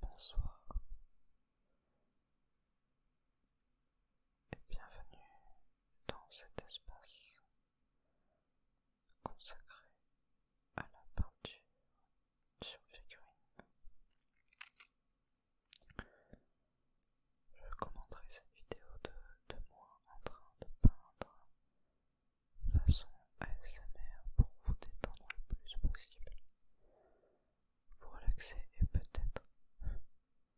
Bonjour, bonsoir et bienvenue dans cet espace consacré à la peinture sur Je commenterai cette vidéo de, moi en train de peindre façon ASMR pour vous détendre le plus possible, vous relaxer et peut-être,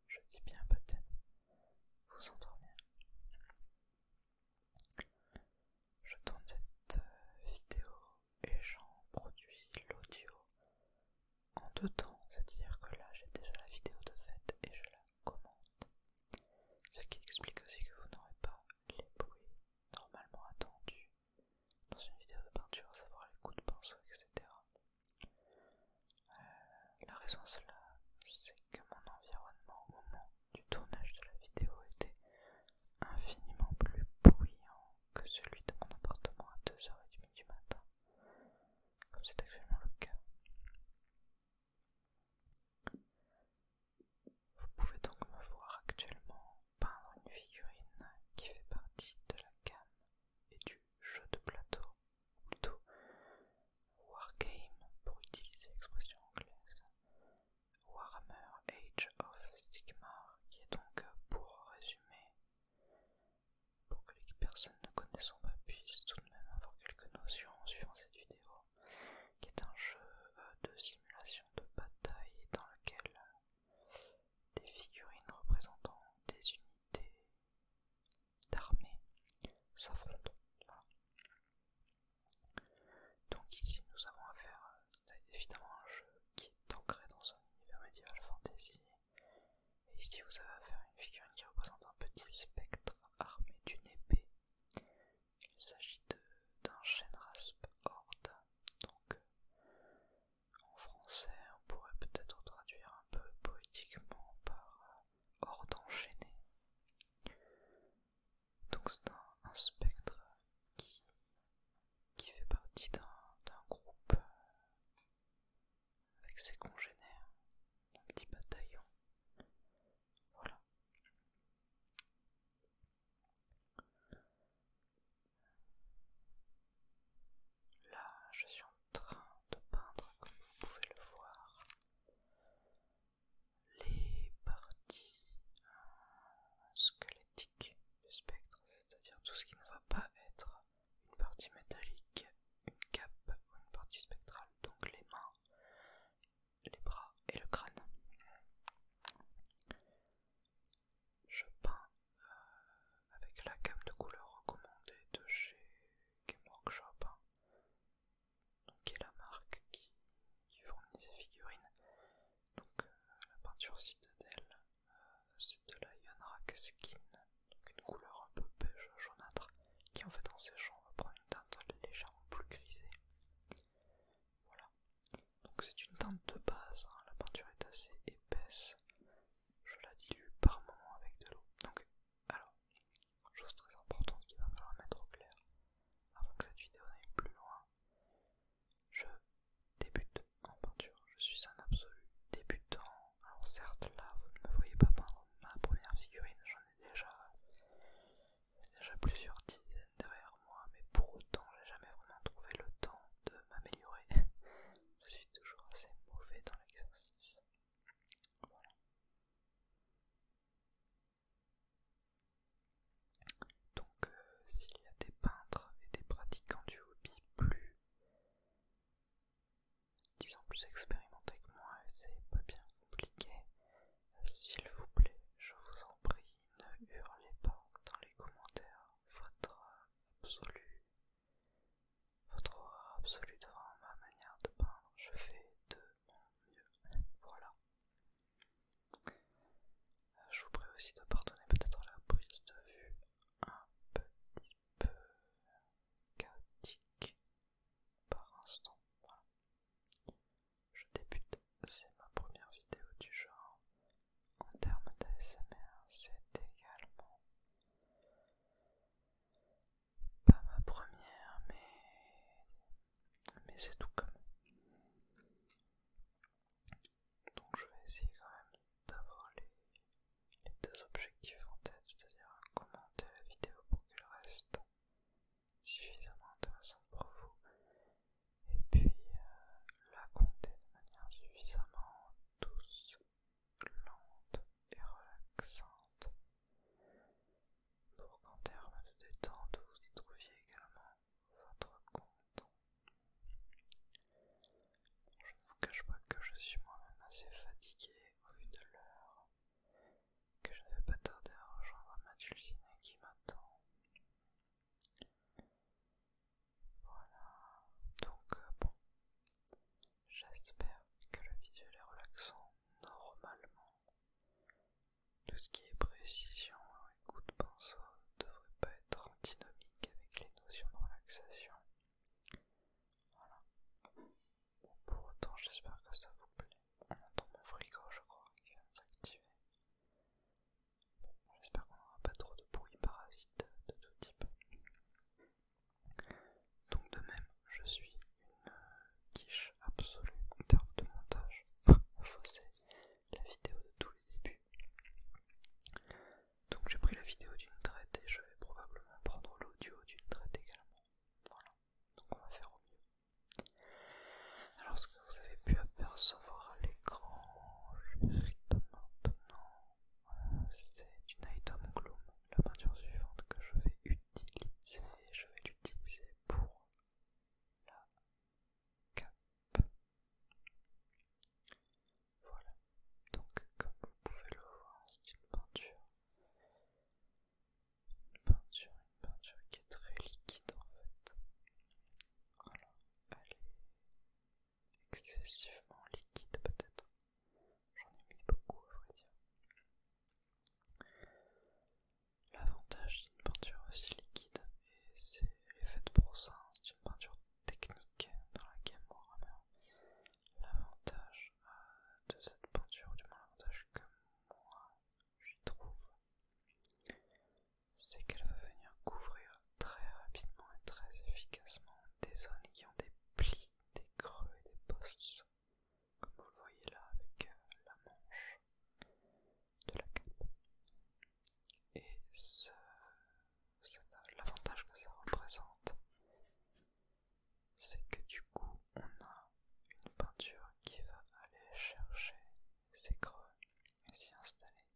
je dis bien peut-être, vous endormir. Je tourne cette euh, vidéo et j'en produis l'audio en deux temps, c'est-à-dire que là j'ai déjà la vidéo de fête et je la commente. Ce qui explique aussi que vous n'aurez pas les bruits normalement attendus dans une vidéo de peinture, à savoir les coups de pinceau, etc. Euh, la raison cela, c'est que mon environnement au moment du tournage de la vidéo était infiniment plus bruyant que celui de mon appartement à 2h30 du matin, comme c'est actuellement le cas. Vous pouvez donc me voir actuellement peindre une figurine qui fait partie de la gamme et du jeu de plateau, ou plutôt wargame pour utiliser l'expression anglaise, Warhammer Age of Sigmar, qui est donc, pour résumer, pour que les personnes ne connaissant pas puissent tout de même avoir quelques notions en suivant cette vidéo, qui est un jeu euh, de simulation de bataille dans lequel des figurines représentant des unités d'armée s'affrontent. Donc ici nous avons affaire c'est évidemment un jeu qui est ancré dans un univers médiéval fantasy. Et ici vous avez affaire à une figurine qui représente un petit spectre armé d'une épée. Il s'agit d'un chêne rasp horde. Donc en français on pourrait peut-être traduire un peu poétiquement par euh, horde enchaînée. Donc c'est un spectre qui qui fait partie d'un groupe euh, avec ses congénères, un petit bataillon. Voilà. Là, je suis en train de peindre, comme vous pouvez le voir, les parties euh, squelettiques le spectre, c'est-à-dire tout ce qui ne va pas être une partie métallique, une cape ou une partie spectrale, donc les mains, les bras et le crâne. Je peins euh, avec la cape de couleur recommandée de chez Game Workshop, hein. qui est la marque qui, fournit ces figurines. Donc euh, la peinture citadelle, euh, c'est de la Rack Skin, donc une couleur un peu beige jaunâtre, qui en fait en séchant va prendre une teinte légèrement plus grisée. Voilà. Donc c'est une teinte de base, hein. la peinture est assez épaisse, je la dilue par moment avec de l'eau. Donc alors, chose très importante qu'il va falloir mettre au clair, avant que cette vidéo n'aille plus loin, je débute en peinture, je suis un absolu débutant. Alors certes là vous ne me voyez pas peindre ma première figurine, j'en ai déjà, déjà plusieurs dizaines derrière moi, mais pour autant j'ai jamais vraiment trouvé le temps de m'améliorer. je suis toujours assez mauvais dans l'exercice. Voilà. Donc euh, s'il y a des peintres et des pratiquants du hobby plus disons plus expérimentés que moi, c'est pas bien compliqué. S'il vous plaît, je vous en prie, ne hurlez pas dans les commentaires votre absolu. Votre horreur devant ma manière de peindre, je fais de mon mieux. Voilà. Je vous prie aussi de pardonner peut-être la prise de vue un petit peu chaotique par instant. Je débute, c'est ma première vidéo du genre. En termes d'ASMR, c'est également pas ma première, mais, mais c'est tout comme. Donc je vais essayer quand même d'avoir les, deux objectifs en tête, c'est-à-dire commenter la vidéo pour qu'elle reste suffisamment intéressante pour vous, et puis euh, la compter de manière suffisamment douce, lente et relaxante pour qu'en termes de détente vous y trouviez également votre Je ne vous cache pas que je suis moi-même assez fatigué au vu de l'heure, que je n'avais pas tard genre rejoindre ma dulcinée qui m'attend. Voilà, donc euh, bon, j'espère que le visuel est relaxant normalement. Tout ce qui est précision hein, coup de pinceau ne devrait pas être antinomique avec les notions de relaxation. Voilà. pour autant, j'espère que ça vous plaît. On entend mon frigo, je crois, qui vient s'activer. j'espère qu'on n'aura pas trop de bruit parasite de tout type. Donc, de même, je suis une euh, quiche absolue en termes de montage. Fausser la vidéo de tous les débuts. Donc j'ai pris la vidéo d'une traite et je vais probablement prendre l'audio d'une traite également. Voilà, donc on va faire au mieux. Alors ce que vous avez pu apercevoir à l'écran juste maintenant, c'est une item gloom, la peinture suivante que je vais utiliser. Je vais l'utiliser pour la cape. Voilà, donc comme vous pouvez le voir, c'est une peinture. Une peinture, une peinture qui est très liquide en fait. Voilà, elle est excessivement liquide peut-être. J'en ai mis beaucoup à vrai dire. L'avantage d'une peinture aussi liquide, et c'est, l'effet de pour ça, une peinture technique dans la gamme Warhammer. L'avantage euh, de cette peinture, du moins l'avantage que moi j'y trouve, c'est qu'elle va venir couvrir très rapidement et très efficacement des zones qui ont des plis, des creux et des postes, comme vous le voyez là avec euh, la manche de la cape et l'avantage que ça représente, c'est que du coup on a une peinture qui va aller chercher ses creux et s'y installer.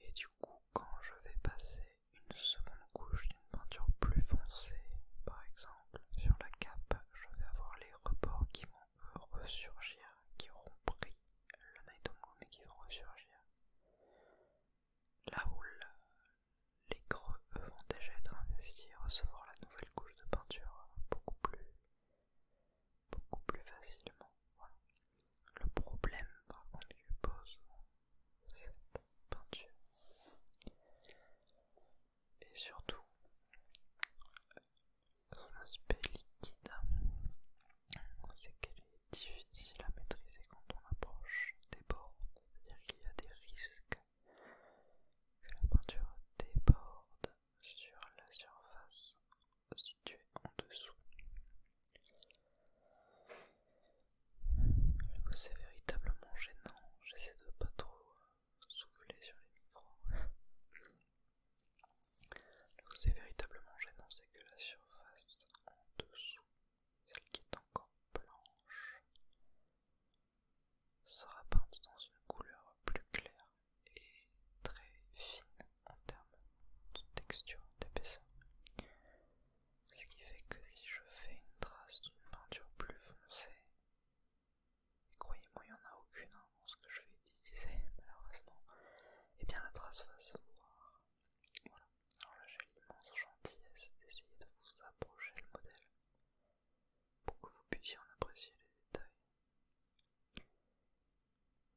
Et du coup quand je vais passer une seconde couche d'une peinture plus foncée, par exemple sur la cape, je vais avoir les rebords qui vont ressurgir, qui auront pris le Night mais qui vont ressurgir. Là où les creux vont déjà être investis et recevoir la nouvelle couche de peinture euh, beaucoup plus, beaucoup plus facilement. Le problème par contre pose cette peinture, et surtout son aspect liquide, sait qu'elle est difficile à maîtriser quand on approche des bords, c'est-à-dire qu'il y a des risques que la peinture déborde sur la surface située en dessous. C'est véritablement gênant, j'essaie de pas trop souffler sur les micros. Je vous c'est véritablement gênant, que la surface en dessous, celle qui est encore blanche, sera peinte dans une couleur plus claire et très fine en termes de texture, d'épaisseur. Ce qui fait que si je fais une trace d'une peinture plus foncée, et croyez-moi, il n'y en a aucune hein, dans ce que je vais utiliser, malheureusement, et eh bien la trace va se voir voilà. Alors là, j'ai l'immense gentillesse d'essayer de vous approcher le modèle pour que vous puissiez en apprécier les détails.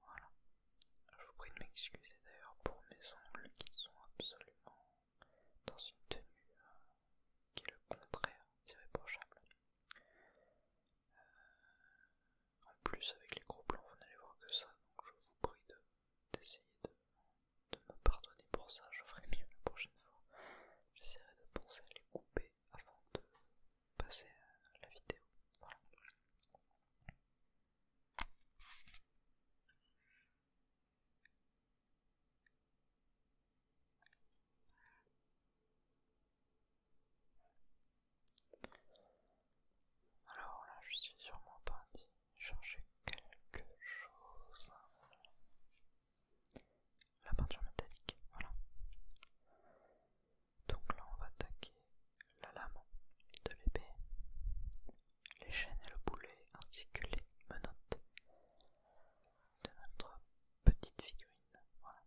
Voilà. Je vous prie de m'excuser d'ailleurs pour mes ongles qui sont absolument dans une tenue euh, qui est le contraire c'est réprochable. Euh, en plus, avec les gros plans, vous n'allez voir que ça, donc je vous prie d'essayer de, me pardonner pour ça. Je ferai mieux la prochaine fois. J'essaierai de penser à les couper avant de passer à la vidéo. Voilà. Alors là, je suis sûrement parti chercher quelque chose. La peinture métallique, voilà. Donc là, on va attaquer la lame de l'épée, les chaînes et le boulet, ainsi que les menottes de notre petite figurine. Voilà.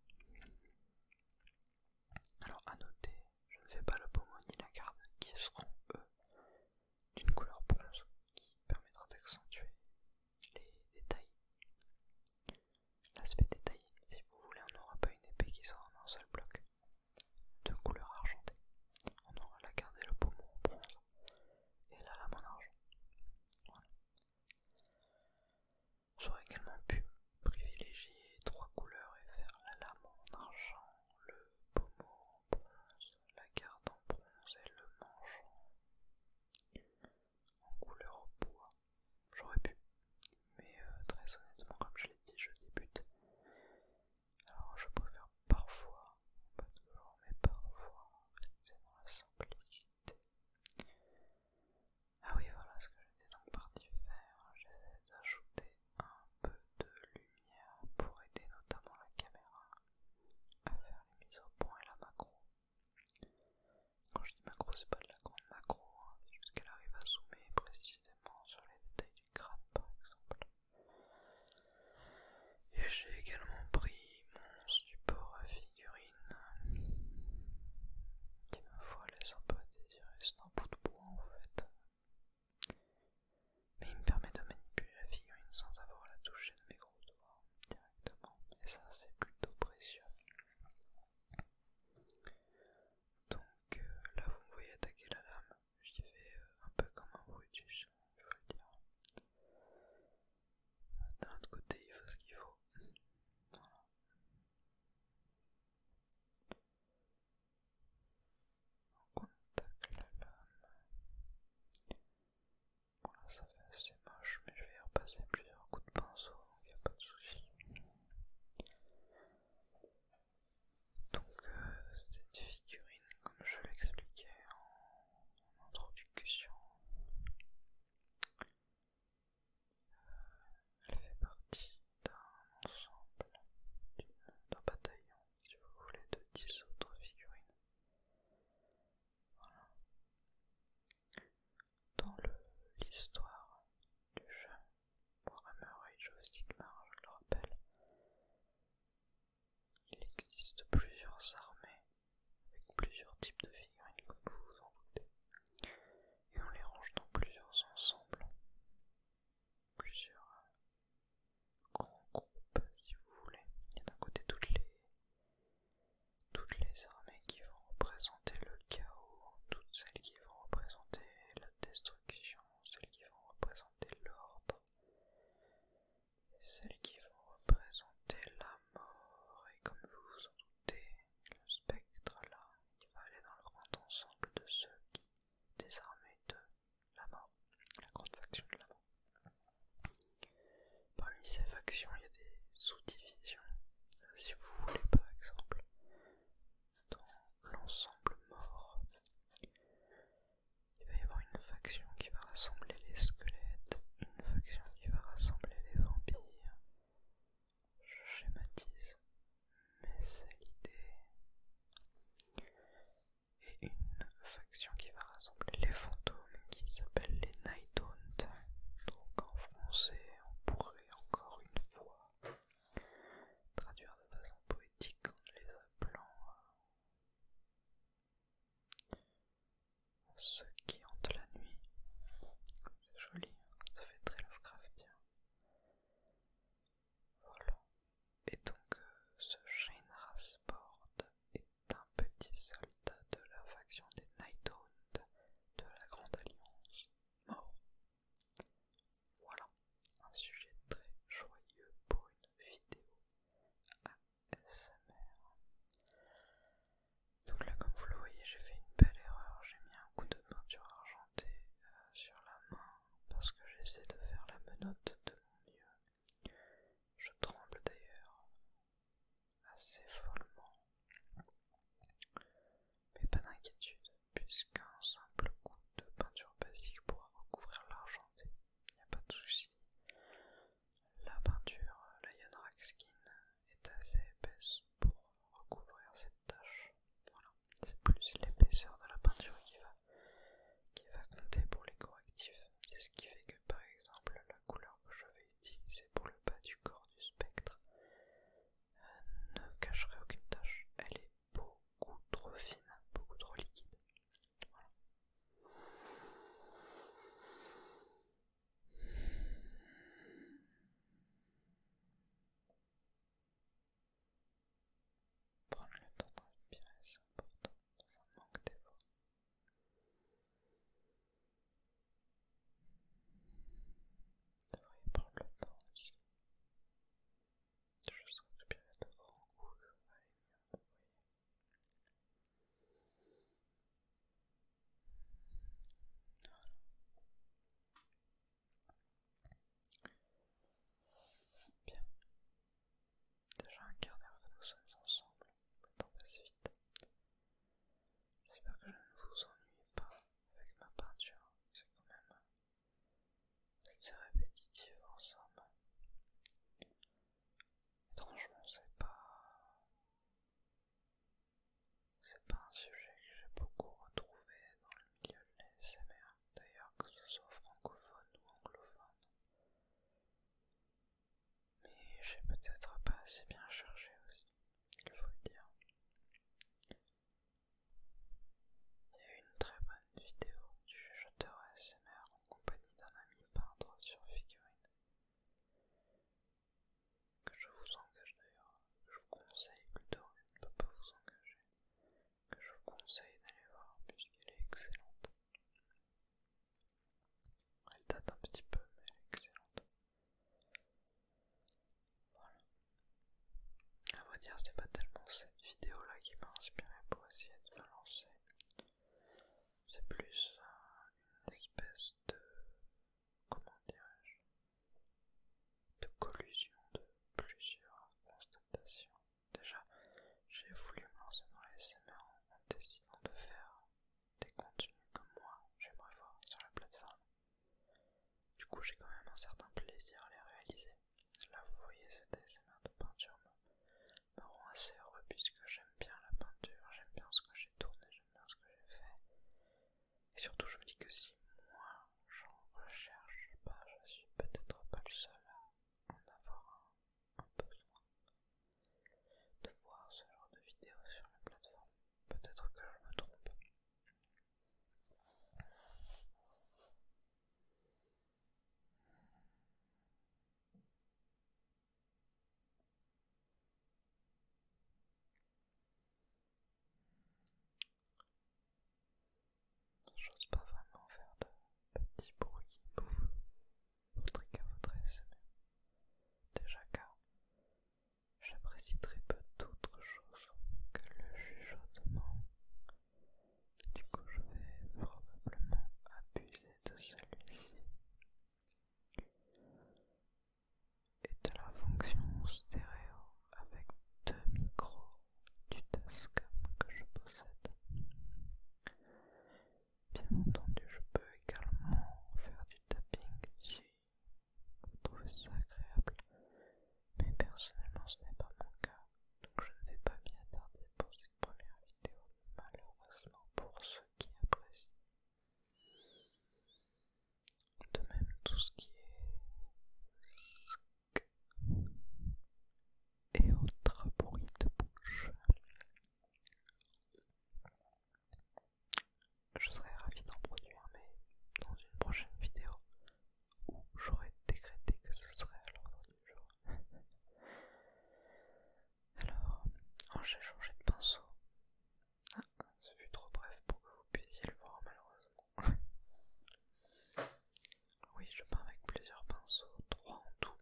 Alors à noter je ne fais pas le pommeau ni la garde, qui seront, eux, d'une couleur bronze, qui permettra d'accentuer les détails. L'aspect détaillé, si vous voulez, on n'aura pas une épée qui sera en un seul bloc, de couleur argentée. On aura la garde et le pommeau en bronze, et la lame en argent. On aurait également pu privilégier trois couleurs et faire la lame en argent le pommeau en bronze, la garde en bronze et le manche en couleur bois. J'aurais pu, mais euh, très honnêtement, comme je l'ai dit, je débute. Alors je préfère parfois, pas toujours, mais parfois, c'est dans la simplicité. Ah oui, voilà ce que j'étais donc parti faire. j'ai ajouté un peu de lumière pour aider notamment la caméra à faire les mises au point et la macro. Quand je dis macro, c'est pas de la grande macro, hein, c'est juste qu'elle arrive à zoomer précisément sur les détails du crâne par exemple. Et j'ai également pris mon support à figurine qui ma foi laisse un peu à désirer, c'est un bout de bois en fait, mais il me permet de manipuler la figurine sans avoir la toucher de mes gros doigts directement, et ça c'est plutôt précieux. Donc euh, là vous me voyez attaquer la lame, j'y fais euh, un peu comme un Brutus, je vais dire. D'un autre côté il faut ce qu'il faut. On contact la lame. ça fait assez moche mais je vais y repasser plusieurs coups de pinceau, donc il n'y a pas de souci. Donc euh, cette figurine, comme je l'expliquais en, introduction, elle fait partie d'un ensemble, d'un bataillon, si vous voulez, de 10 autres figurines. dans Dans l'histoire du jeu Warhammer et Joe Sigmar, je le rappelle, il existe plusieurs armées avec plusieurs types de figurines, comme vous vous en doutez, et on les range dans plusieurs ensembles, plusieurs hein. Grand groupe, si vous voulez. Il y a d'un côté toutes les, toutes les armées qui vont représenter le chaos, toutes celles qui vont représenter la destruction, celles qui vont représenter l'ordre, celles qui vont représenter la mort, et comme vous vous en doutez, le spectre là, il va aller dans le grand ensemble de ceux qui des armées de la mort, la grande faction de la mort. Parmi ces factions, il y a des sous-divisions. Si vous voulez, par exemple, dans l'ensemble mort, il va y avoir une faction qui va rassembler les squelettes, une faction qui va rassembler les vampires. Je schématise, mais c'est l'idée. Et une faction qui va rassembler les fantômes qui s'appellent les Night Donc en français, on pourrait encore une fois traduire de façon poétique en les appelant euh, ceux qui hantent la nuit. C'est joli, ça fait très Lovecraftien. Voilà. Et donc euh, ce ce Sport est un petit soldat de la faction des Nighthound de la Grande Alliance mort. Voilà, un sujet très joyeux pour une vidéo ASMR. Donc là comme vous le voyez j'ai fait une belle erreur, j'ai mis un coup de peinture argentée euh, sur la main parce que j'essaie de faire la menotte de mon mieux. Je tremble d'ailleurs assez follement. Mais pas d'inquiétude, puisqu'un simple coup de peinture basique pourra recouvrir l'argenté. Il n'y a pas de souci. La peinture Lion Skin est assez épaisse pour recouvrir cette tache. Voilà, c'est plus l'épaisseur de la peinture qui va qui va compter pour les correctifs. C'est ce qui fait que par exemple la couleur que je vais utiliser pour le bas du corps du spectre euh, ne cacherait aucune tâche. Elle est beaucoup trop fine, beaucoup trop liquide. Prendre le temps de respirer, c'est important, ça manque des Vous Devriez prendre le temps aussi. Juste respirer de grands coups, ça va aller mieux, vous voyez. Voilà. Bien, Déjà un quart d'heure que nous sommes ensemble, pour la passe vite. J'espère que je ne vous ennuie pas avec ma peinture, c'est quand même assez répétitif ensemble. Étrangement, c'est pas. C'est pas un sujet que j'ai beaucoup retrouvé a SMR. d'ailleurs que ce soit francophone ou anglophone. Mais j'ai peut-être pas assez bien cherché aussi, il faut le dire. Il y a une très bonne vidéo du jeteur ASMR en compagnie d'un ami peintre sur figurine que je vous engage d'ailleurs, je vous conseille plutôt, je ne peux pas vous engager, que je vous conseille d'aller voir puisqu'elle est excellente. Elle date un petit peu, mais elle est excellente. Voilà. À vrai dire, c'est pas tellement cette vidéo-là qui m'a inspiré pour essayer de la lancer. C'est plus euh, une espèce de. comment dirais-je De collusion de plusieurs constatations Déjà, j'ai voulu me lancer dans les en, décidant de faire des contenus comme moi j'aimerais voir sur la plateforme. Du coup, j'ai quand même un certain plaisir à les réaliser. Là, vous voyez, cette ASMR de peinture me, rend assez heureux puisque j'aime bien la peinture, j'aime bien ce que j'ai tourné, j'aime bien ce que j'ai fait. Et surtout, je me dis que si moi j'en recherche, pas, je suis peut-être pas le seul avoir un, besoin de voir ce genre de vidéo sur la plateforme. Peut-être que je me trompe. J'ose pas vraiment faire de petits bruits pour à votre Déjà car j'apprécie très peu d'autres choses que le chuchotement. Du coup je vais probablement abuser de celui-ci et de la fonction stéréo avec deux micros du Tascam que je possède. Bien entendu, je peux également faire du tapping si vous trouvez ça agréable, mais personnellement ce n'est pas mon cas, donc je ne vais pas m'y attarder pour cette première vidéo, malheureusement pour ceux qui apprécient. De même, tout ce qui est et autres bruit de bouche. Je serais ravi d'en produire, mais dans une prochaine vidéo où j'aurais décrété que ce serait à l'ordre du jour. Alors, oh, j'ai changé de pinceau. Ah, ce fut trop bref pour que vous puissiez le voir malheureusement. Oui, je peins avec plusieurs pinceaux, trois en tout.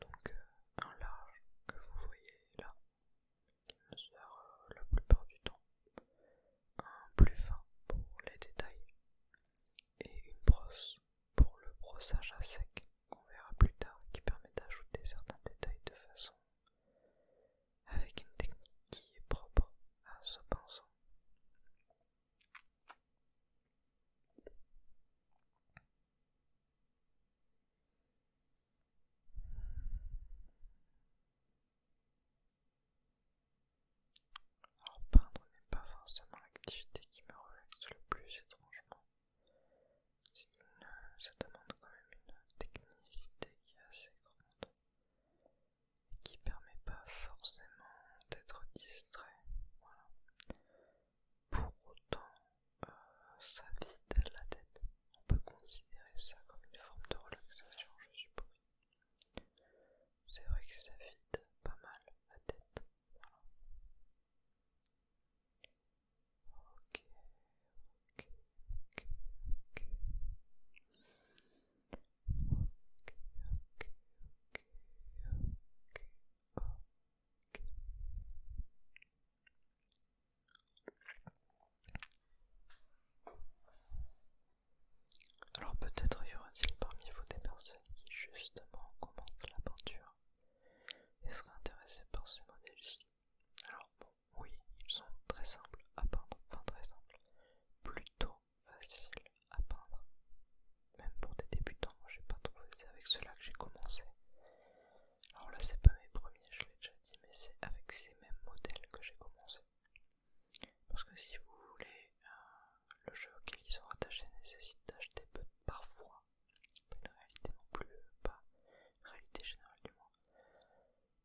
Donc euh, un large que vous voyez là, qui me sert euh, la plupart du temps. Un plus fin pour les détails. Et une brosse pour le brossage à sec qu'on verra plus tard qui permet d'ajouter certains détails de façon avec une technique qui est propre à ce pinceau. Alors peindre n'est pas forcément l'activité qui me relaxe le plus étrangement. ça demande quand même une technicité qui est assez grande qui permet pas forcément d'être distrait. Voilà. Pour autant, euh, ça vide la tête. On peut considérer ça comme une forme de relaxation, je suppose. C'est vrai que ça vide pas mal la tête. Ok, ok, ok, ok. Alors peut-être y aura-t-il parmi vous des personnes qui justement commencent la peinture et seraient intéressées par ces modèles Alors bon, oui, ils sont très simples à peindre, enfin très simples, plutôt facile à peindre. Même pour des débutants, j'ai pas trouvé. C'est avec cela que j'ai commencé. Alors là, c'est pas mes premiers, je l'ai déjà dit, mais c'est avec ces mêmes modèles que j'ai commencé. Parce que si vous voulez, euh, le jeu auquel ils sont rattachés nécessite d'acheter parfois, pas de réalité non plus, euh, pas réalité générale du moins,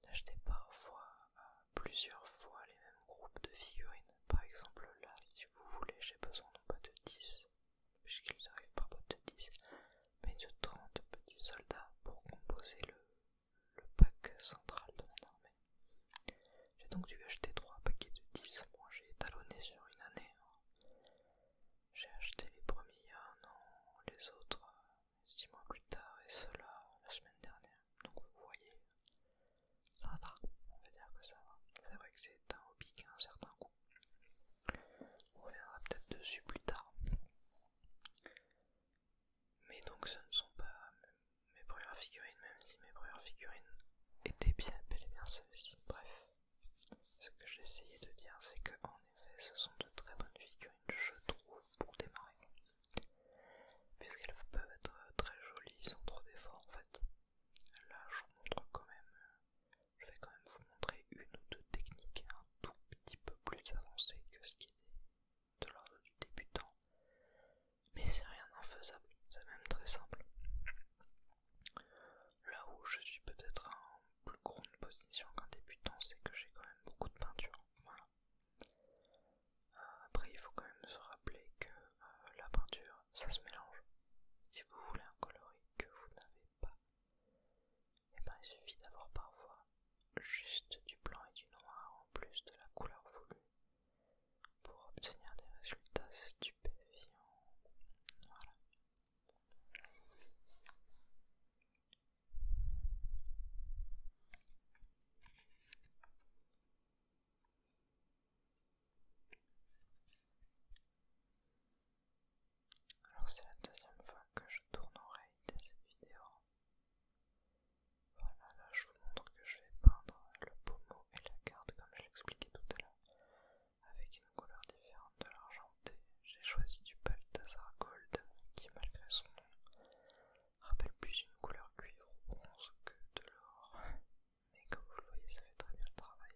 d'acheter parfois euh, plusieurs fois les mêmes groupes de figurines. Par exemple là, si vous voulez, j'ai besoin non pas de 10, puisqu'ils arrivent par boîte de 10, mais de 30 petits soldats pour composer le, pack central de mon armée. J'ai donc dû acheter 3 paquets de 10, moi j'ai étalonné sur une année. Hein. J'ai acheté les premiers un an, les autres 6 euh, mois plus tard et cela la semaine dernière. Donc vous voyez, ça va, on va dire que ça va. C'est vrai que c'est un hobby qui a un certain coup. On reviendra peut-être dessus plus tard. Mais donc ce ne sont pas mes premières figurines, même si mes premières figurines étaient bien belles et bien celles-ci. Bref, ce que j'essayais de dire, c'est que en effet, ce sont de très bonnes figurines, je trouve, pour démarrer. Puisqu'elles peuvent être très jolies sans trop d'efforts en fait. Là, je vous montre quand même, je vais quand même vous montrer une ou deux techniques un tout petit peu plus avancées que ce qui est de l'ordre du débutant. Mais c'est rien d'infaisable, c'est même très simple. Là où je suis peut-être en plus grande position qu'un débutant, c'est que j'ai quand même beaucoup de peinture. Voilà. Euh, après, il faut quand même se rappeler que euh, la peinture, ça se mélange. Si vous voulez un coloris que vous n'avez pas, et eh ben il suffit d'avoir parfois juste du blanc et du noir en plus de la couleur voulue pour obtenir des résultats stupéfiants. Alors c'est la deuxième fois que je tourne en réalité cette vidéo. Voilà, là je vous montre que je vais peindre le pommeau et la carte comme je l'expliquais tout à l'heure. Avec une couleur différente de l'argenté, j'ai choisi du Balthazar Gold qui malgré son nom rappelle plus une couleur cuivre ou bronze que de l'or mais comme vous le voyez, ça fait très bien le travail.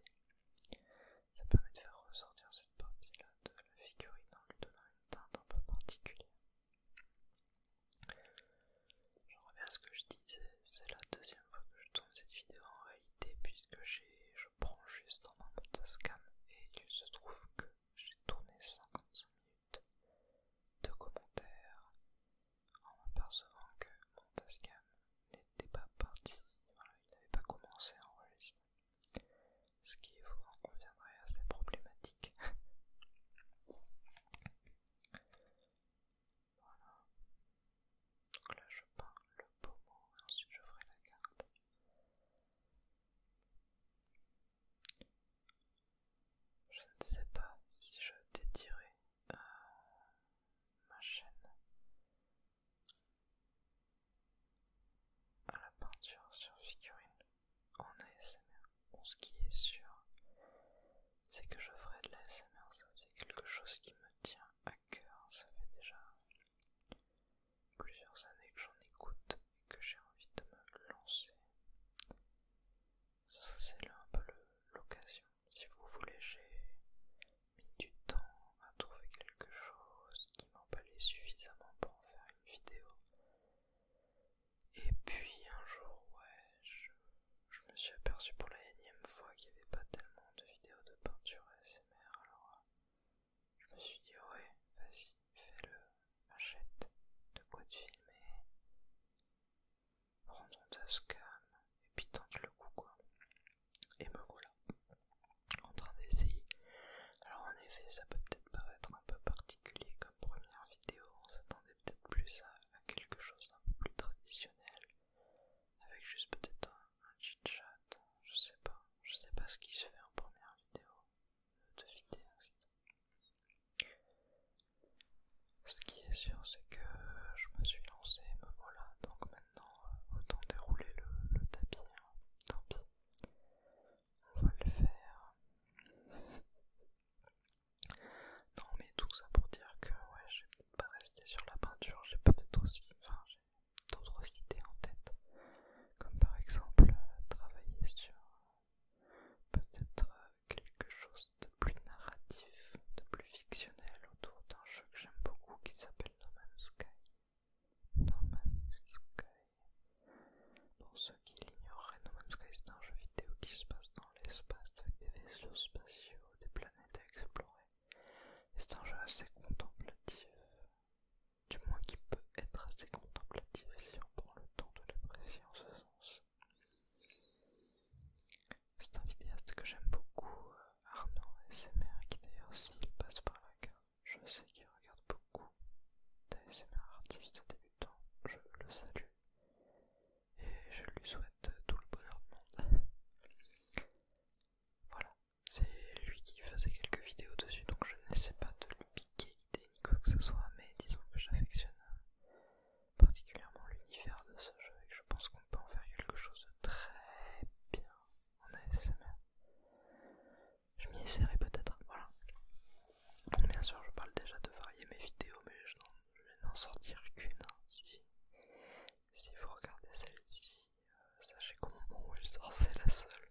Ça permet de faire ressortir cette partie-là de la figurine en lui donnant une teinte un peu particulière. Je reviens à ce que je disais, c'est la deuxième fois que je tourne cette vidéo en réalité, puisque je prends juste dans mon tascam et il se trouve que j'ai tourné 55 minutes de commentaires, en m'apercevant que mon n'était pas parti, il n'avait pas commencé en enregistrer. Ce qui, vous en à assez problématique. voilà. Donc là, je peins le pommeau et ensuite je ferai la carte. Je ne sais pas si je t'ai euh, ma chaîne à la peinture sur figurine en ASMR. ce qui est sûr, c'est que je ferai de l'ASMR, c'est quelque chose qui me tient à cœur. Ça fait déjà plusieurs années que j'en écoute et que j'ai envie de me lancer. Ça, C'est un peu l'occasion si vous voulez, j'ai mis du temps à trouver quelque chose qui m'emballait suffisamment pour en faire une vidéo. Et puis un jour, ouais, je, me suis aperçu pour la énième fois qu'il n'y avait pas tellement de vidéos de peinture ASMR, alors euh, je me suis dit, ouais, vas-y, fais-le, achète de quoi te filmer, Rondondeuse calme et tente le cou quoi. Et me voilà en train d'essayer. Alors en effet ça peut peut-être paraître un peu particulier comme première vidéo, on s'attendait peut-être plus à, quelque chose d'un peu plus traditionnel, avec juste peut-être un, un chat, je sais pas, je sais pas ce qui se fait en première vidéo de vidéo. Ce qui est sûr, c'est que je me suis lancé, me voilà, donc maintenant euh, autant dérouler le, tapis, hein. tant pis, on va le faire. Non mais tout ça pour dire que ouais, vais peut-être pas rester sur la peinture, j'ai peut-être aussi, enfin j'ai d'autres idées en tête, comme par exemple euh, travailler sur euh, peut-être quelque chose de plus narratif, de plus fictionnel autour d'un jeu que j'aime beaucoup qui s'appelle No Man's Sky. No Man's Pour ceux qui l'ignoreraient, No Man's Sky c'est un jeu vidéo qui se passe dans l'espace avec des vaisseaux spatiaux, des planètes à explorer. C'est un jeu assez contemplatif, du moins qui peut être assez contemplatif si on prend le temps de l'apprécier en ce sens. C'est un vidéaste que j'aime beaucoup, euh, Arnaud SMR, qui d'ailleurs s'il passe par la je sais qu'il regarde beaucoup d'ASMR artistes débutants, je le salue et je lui souhaite tout le bonheur du monde. Voilà, c'est lui qui faisait quelques vidéos dessus, donc je n'essaie pas de lui piquer l'idée ni quoi que ce soit, mais disons que j'affectionne euh, particulièrement l'univers de ce jeu et que je pense qu'on peut en faire quelque chose très bien en ASMR. Je m'y essaierai peut-être, voilà. Bien sûr, je parle déjà de varier mes vidéos, mais je vais n'en sortir qu'une. Hein, si, vous regardez celle-ci, euh, sachez qu'au moment où elle sort, c'est la seule.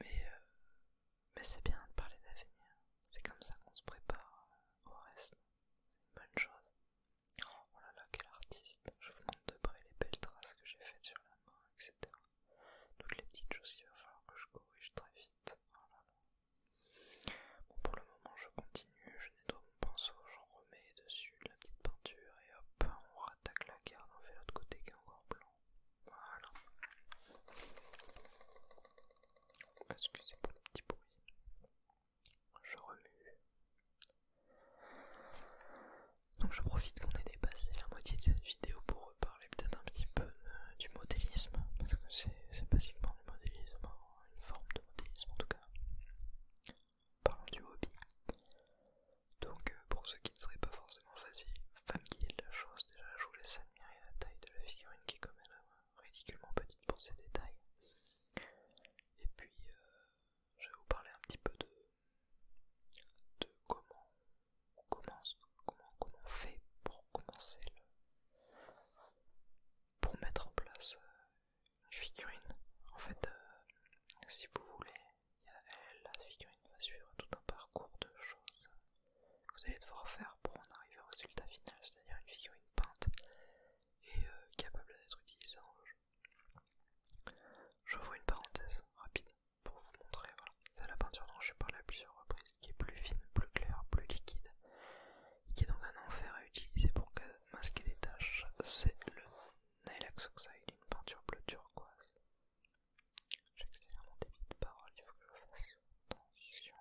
Mais, euh, mais c'est bien de parler d'avenir. C'est comme ça qu'on se prépare au reste. C'est une bonne chose. Oh là là, quel artiste Je vous montre de près les belles traces que j'ai faites sur la main, etc. Toutes les petites choses, qu'il va falloir que je corrige très vite. Oh bon, pour le moment, je continue, je nettoie mon pinceau, j'en remets dessus la petite peinture et hop, on rattaque la garde, on fait l'autre côté qui est encore blanc. Voilà. Excusez pour le petit bruit. Je remue. Donc je profite qu'on ait dépassé la moitié de cette vidéo pour reparler peut-être un petit peu euh, du modélisme, parce que c'est basiquement du modélisme, hein. une forme de modélisme en tout cas. Parlons du hobby. Donc euh, pour ceux qui ne seraient pas forcément familiers de la chose, déjà je vous laisse admirer la taille de la figurine qui est quand même euh, ridiculement petite pour ses détails. Et puis je vais vous parler un petit peu de, comment on commence, comment, on fait pour commencer le, pour mettre en place euh, une figurine. En fait, euh, si vous voulez, la figurine va suivre tout un parcours de choses que vous allez devoir faire pour en arriver au résultat final, c'est-à-dire une figurine peinte et euh, capable d'être utilisée en rouge. J'ouvre une parenthèse rapide pour vous montrer, voilà, c'est la peinture dont j'ai parlé à plusieurs reprises, qui est plus fine, plus claire, plus liquide, qui est donc un enfer à utiliser pour masquer des taches, c'est le Nylax Oxide, une peinture bleu turquoise. J'accélère mon débit de parole, il faut que je fasse attention.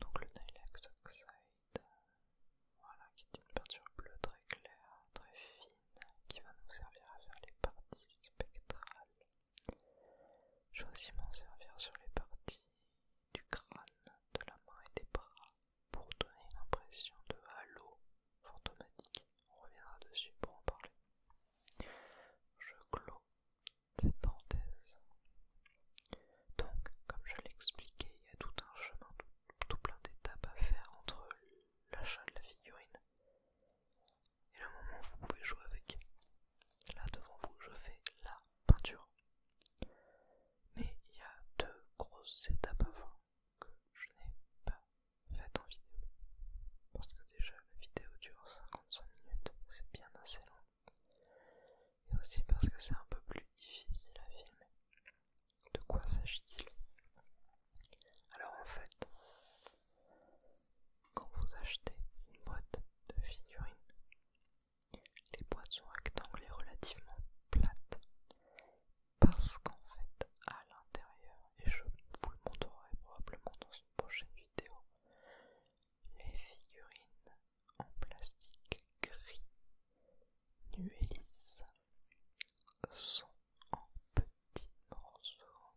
Donc le Nylax Oxide, voilà, qui est une peinture bleue très claire, très fine, qui va nous servir à faire les parties spectrales. Je vais aussi m'en servir sur les parties du crâne, de la main et des bras pour donner l'impression de halo fantomatique. On reviendra dessus pour en parler. Je clôt cette parenthèse. Donc, comme je l'expliquais, il y a tout un chemin, tout, plein d'étapes à faire entre l'achat de la figurine et le moment où vous pouvez jouer avec. Là devant vous, je fais la peinture. Mais il y a deux grosses étapes avant que je n'ai pas faites en vidéo. Parce que déjà la vidéo dure 55 minutes, c'est bien assez long et aussi parce que c'est un peu plus difficile à filmer. De quoi s'agit-il Alors en fait, quand vous achetez une boîte de figurines, les boîtes sont rectangles relativement plates parce qu'en fait à l'intérieur, et je vous le montrerai probablement dans une prochaine vidéo, les figurines en plastique gris nu lisse sont en petits morceaux.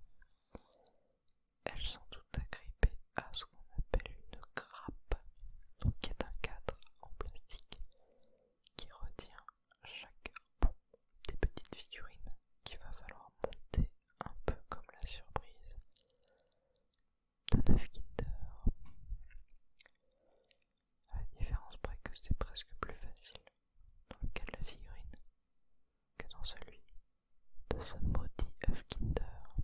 Elles sont toutes agrippées à ce qu'on appelle une grappe, donc qui est un cadre en plastique qui retient chaque bout des petites figurines qu'il va falloir monter un peu comme la surprise de 9 Kinder la différence près que c'est presque plus facile dans le la figurine que dans celui de ce maudit œuf Kinder.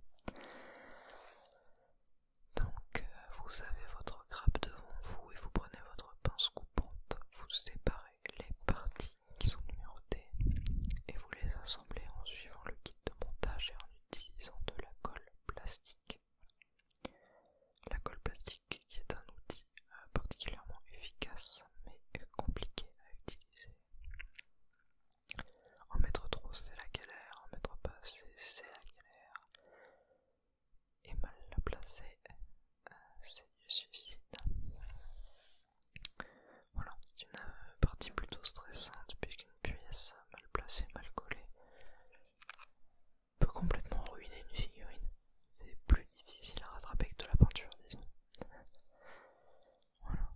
Donc, euh, vous avez votre grappe devant vous et vous prenez votre pince coupante, vous séparez les parties qui sont numérotées et vous les assemblez en suivant le kit de montage et en utilisant de la colle plastique la colle plastique qui est un outil euh, particulièrement efficace mais compliqué à utiliser. En mettre trop c'est la galère, en mettre pas c'est la galère. Et mal la placer euh, c'est du suicide. Voilà, c'est une euh, partie plutôt stressante puisqu'une pièce mal placée, mal collée peut complètement ruiner une figurine. C'est plus difficile à rattraper que de la peinture, disons. Voilà.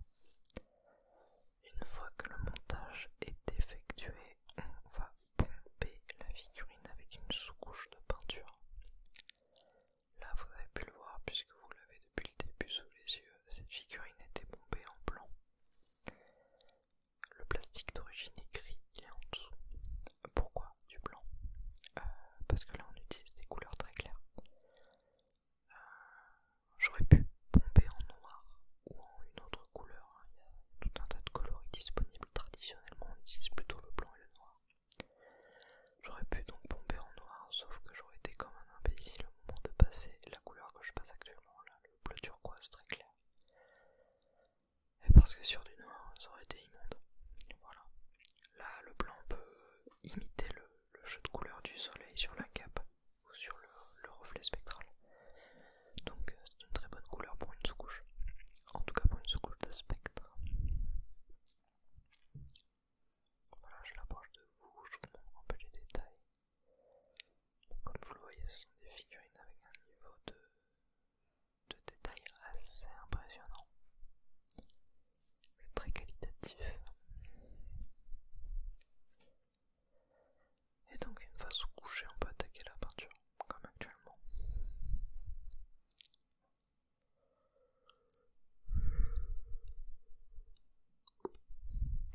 Une fois que le montage est effectué, on va pomper la figurine avec une sous-couche de peinture. Là, vous avez pu le voir puisque vous l'avez depuis le début sous les yeux, cette figurine était pompée en blanc. Le plastique d'origine est gris, il est en dessous. Pourquoi du blanc euh, Parce que là on utilise des couleurs très claires. Euh, j'aurais pu pomper en noir ou en une autre couleur. Hein. Il y a tout un tas de coloris disponibles. Traditionnellement on utilise plutôt le blanc et le noir. J'aurais pu donc pomper en noir, sauf que j'aurais été comme un imbécile au moment de passer la couleur que je passe actuellement, là, le bleu turquoise très clair. Et parce que sur du noir, ça aurait été immonde. Voilà. Là, le blanc peut imiter le, jeu de couleur du soleil sur la cape ou sur le, le reflet spectral. Donc, euh, c'est une très bonne couleur pour une sous-couche. En tout cas, pour une sous-couche de spectre. Voilà, je l'approche de vous, je vous montre un peu les détails. Comme vous le voyez, ce sont des figurines avec un niveau de, de détail assez impressionnant. C'est très qualitatif. Et donc une fois sous coucher on peut attaquer la peinture, comme actuellement.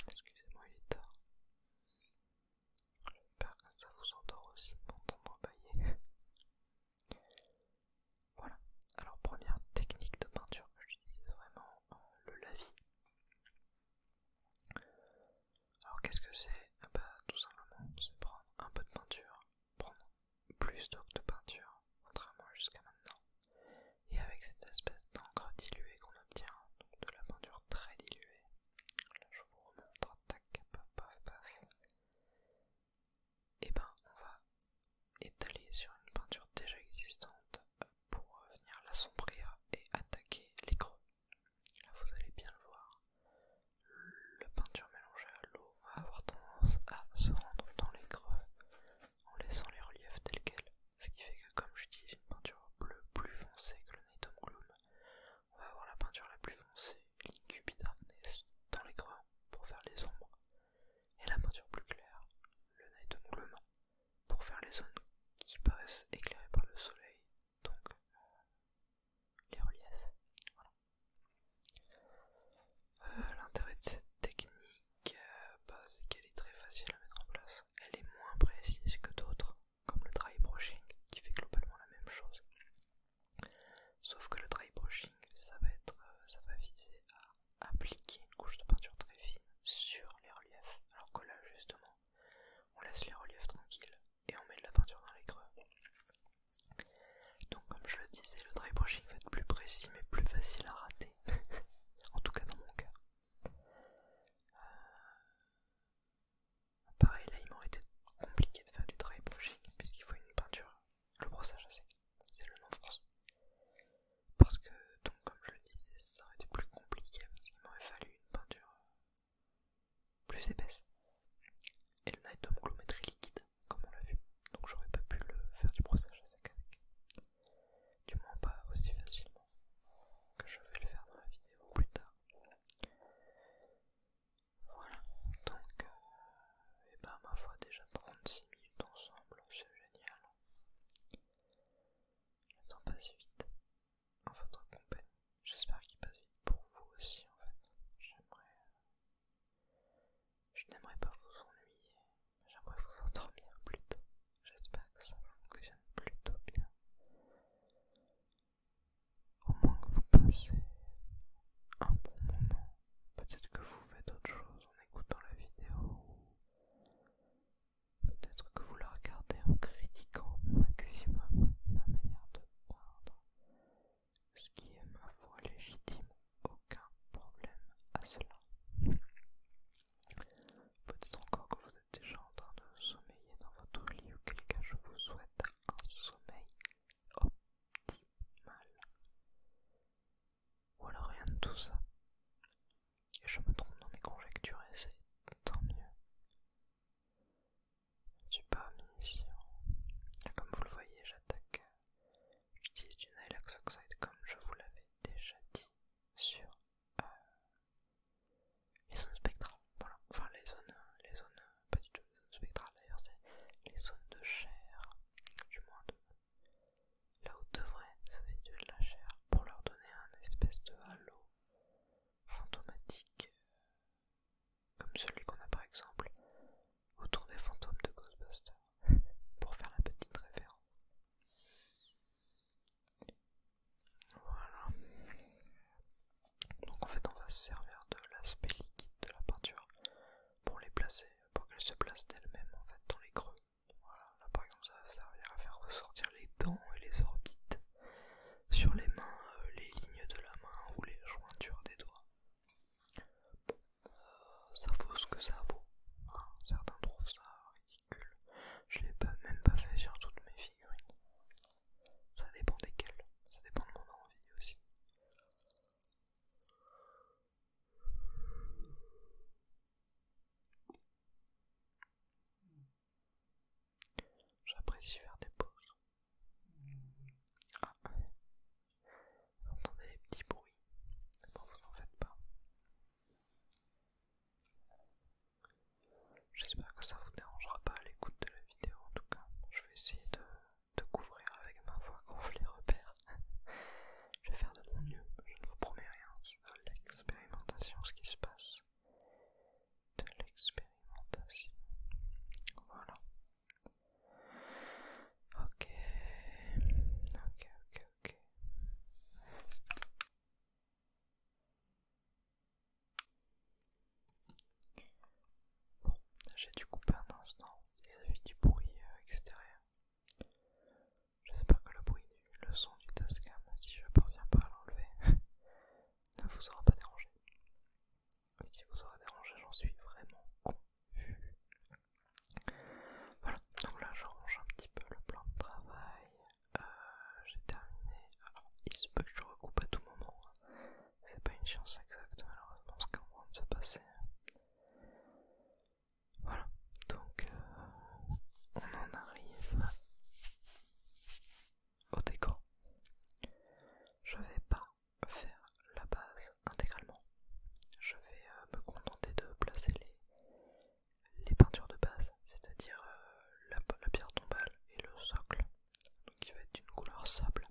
Excusez-moi, il est tard. J'espère que ça vous endort aussi pour m'entendre bailler. Voilà. Alors première technique de peinture que j'utilise vraiment, euh, le lavis. Alors qu'est-ce que c'est ah bah, tout simplement, c'est prendre un peu de peinture, prendre plus d'eau de peinture, contrairement jusqu'à maintenant. Et avec cette espèce d'encre diluée qu'on obtient, donc de la peinture très diluée, Là, je vous remontre, tac, paf, paf, Et ben, on va étaler sur une peinture déjà existante pour venir l'assombrir et attaquer les creux. Là, vous allez bien le voir. La peinture mélangée à l'eau va avoir tendance à se rendre dans les creux en laissant les reliefs tels quels. Ce qui fait que, comme j'utilise une peinture bleue plus foncée que le Night Gloom, on va avoir la peinture la plus foncée, l'incubi dans les creux pour faire les ombres, et la peinture plus claire, le night pour faire les zones qui paraissent éclairées par le soleil, donc euh, les reliefs. Euh, l'intérêt de cette technique, euh, bah, c'est qu'elle est très facile à mettre en place. Elle est moins précise que d'autres, comme le dry brushing qui fait globalement la même chose. Sauf que le dry brushing, ça va, être, euh, ça va viser à appliquer une couche de peinture très fine sur les reliefs, alors que là justement, on laisse les reliefs tranquilles et on met de la peinture dans les creux. Donc comme je le disais, le dry brushing va être plus précis mais plus facile à rater, en tout cas dans mon cas. Euh, Pareil, là, il m'aurait été compliqué de faire du dry brushing puisqu'il faut une peinture. Le brossage assez, c'est le nom français. Parce que, donc, comme je le disais, ça aurait été plus compliqué parce qu'il m'aurait fallu une peinture euh, plus épaisse. Et le Night home glométrie liquide, comme on l'a vu, donc j'aurais pas pu le faire du brossage à avec. Du moins, pas aussi facilement que je vais le faire dans la vidéo plus tard. Voilà, donc, et euh, eh ben ma foi, déjà 36 minutes ensemble, c'est génial. Le temps passe vite en votre compagnie. J'espère qu'il passe vite pour vous aussi, en fait. J'aimerais. Euh, je n'aimerais pas vous ennuyer, j'aimerais vous endormir plutôt. J'espère que ça fonctionne plutôt bien au moins que vous passez un bon moment. Peut-être que vous faites autre chose en écoutant la vidéo, peut-être que vous la regardez en critiquant au maximum ma manière de voir, ce qui est ma foi légitime, aucun problème à cela. Peut-être encore que vous êtes déjà en train de sommeiller dans votre lit ou quelqu'un, je vous souhaite un sommeil optimal. Ou alors rien de tout ça. Et je me trompe dans mes conjectures et c'est tant mieux. Super mission. suis pas Comme vous le voyez, j'attaque. Euh, j'utilise du Nylaxoxide Oxide comme je vous l'avais déjà dit sur euh, les zones spectrales, voilà, enfin les zones, les zones, pas du tout les zones spectrales d'ailleurs, c'est les zones de chair, du moins là où devrait se situer de la chair, pour leur donner un espèce de halo fantomatique, euh, comme celui qu'on a par exemple autour des fantômes de Ghostbusters, pour faire la petite référence. Voilà. Donc en fait on va se servir de l'aspect liquide de la peinture pour les placer, pour qu'elles se placent d'elles-mêmes en fait dans les creux. Voilà, là par exemple ça va servir à faire ressortir les dents et les orbites. Sur les mains, euh, les lignes de la main ou les jointures des doigts. Bon, euh, ça vaut ce que ça vaut. Hein. Certains trouvent ça ridicule. Je l'ai pas, même pas fait sur toutes mes figurines. Ça dépend desquels, ça dépend de mon envie aussi. J'apprécie faire des pauses. Ah, vous entendez les petits bruits Bon, vous n'en faites pas. J'espère que ça vous dérangera pas à l'écoute de la vidéo en tout cas. Je vais essayer de, couvrir avec ma voix quand je les repère. je vais faire de mon mieux, je ne vous promets rien, c'est de l'expérimentation ce qui se passe. De l'expérimentation. Voilà. Ok. Ok, ok, ok. Bon, j'ai dû couper un instant y à vis du bruit euh, extérieur. J'espère que le bruit du le son du Tascam, si je parviens pas à l'enlever, ne vous aura pas dérangé. Et si vous aura dérangé, j'en suis vraiment confus. Voilà, donc là je un petit peu le plan de travail. Euh, j'ai terminé. Alors, il se peut que je recoupe à tout moment. Hein. C'est pas une science exacte malheureusement ce qu'on va se passer. Voilà, donc euh, on en arrive au décor. Je vais pas faire la base intégralement. Je vais euh, me contenter de placer les, les peintures de base, c'est-à-dire euh, la pierre tombale et le socle donc il va être d'une couleur sable.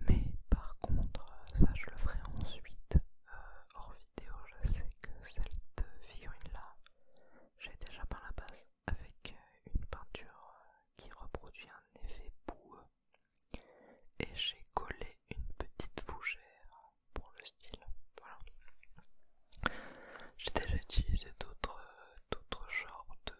Mais par contre, euh, ça je le ferai ensuite euh, hors vidéo. Je sais que cette figurine là, j'ai déjà peint la base avec euh, une peinture qui reproduit un effet boue et j'ai collé une petite fougère pour le style. Voilà. J'ai déjà utilisé d'autres genres de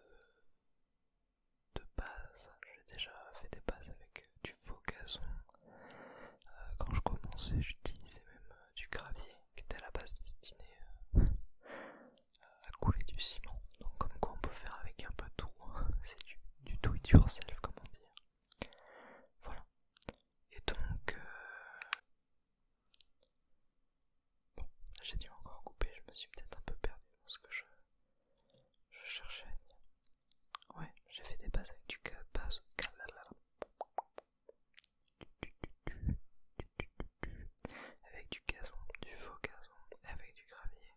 de base. J'ai déjà fait des bases avec euh, du faux gazon. Euh, quand je commençais, j'utilisais même euh, du gravier qui était à la base destiné à couler du ciment. Donc, comme quoi, on peut faire avec un peu tout. Hein. C'est du, tout et it yourself, comme on dit. Voilà. Et donc, Bon, j'ai dû encore couper, je me suis peut-être un peu perdu dans ce que je, je cherchais. Ouais, j'ai fait des bases avec du Avec du gazon, du faux gazon, avec du gravier.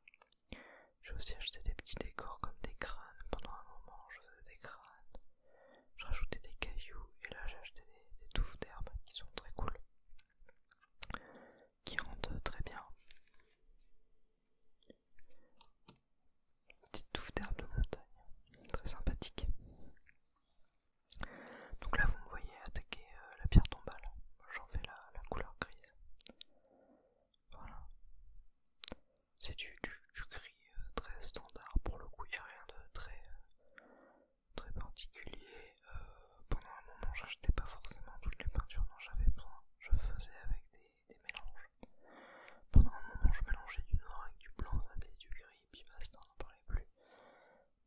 J'ai aussi acheté des petits décors comme des crânes. Pendant un moment, je faisais des crânes. Je rajoutais des cailloux et là j'ai acheté des, des touffes d'herbe qui sont très cool qui rentre très bien. Petite touffe d'herbe de montagne, très sympathique. Donc là, vous me voyez attaquer euh, la pierre tombale. J'en fais la, la couleur grise. Voilà. C'est du, gris euh, très standard pour le coup, il n'y a rien de très, euh, très particulier. Euh, pendant un moment, j'achetais pas forcément toutes les peintures dont j'avais besoin. Je faisais avec des, mélanges. Pendant un moment, je mélangeais du noir avec du blanc, ça du gris, puis basta, on n'en parlait plus.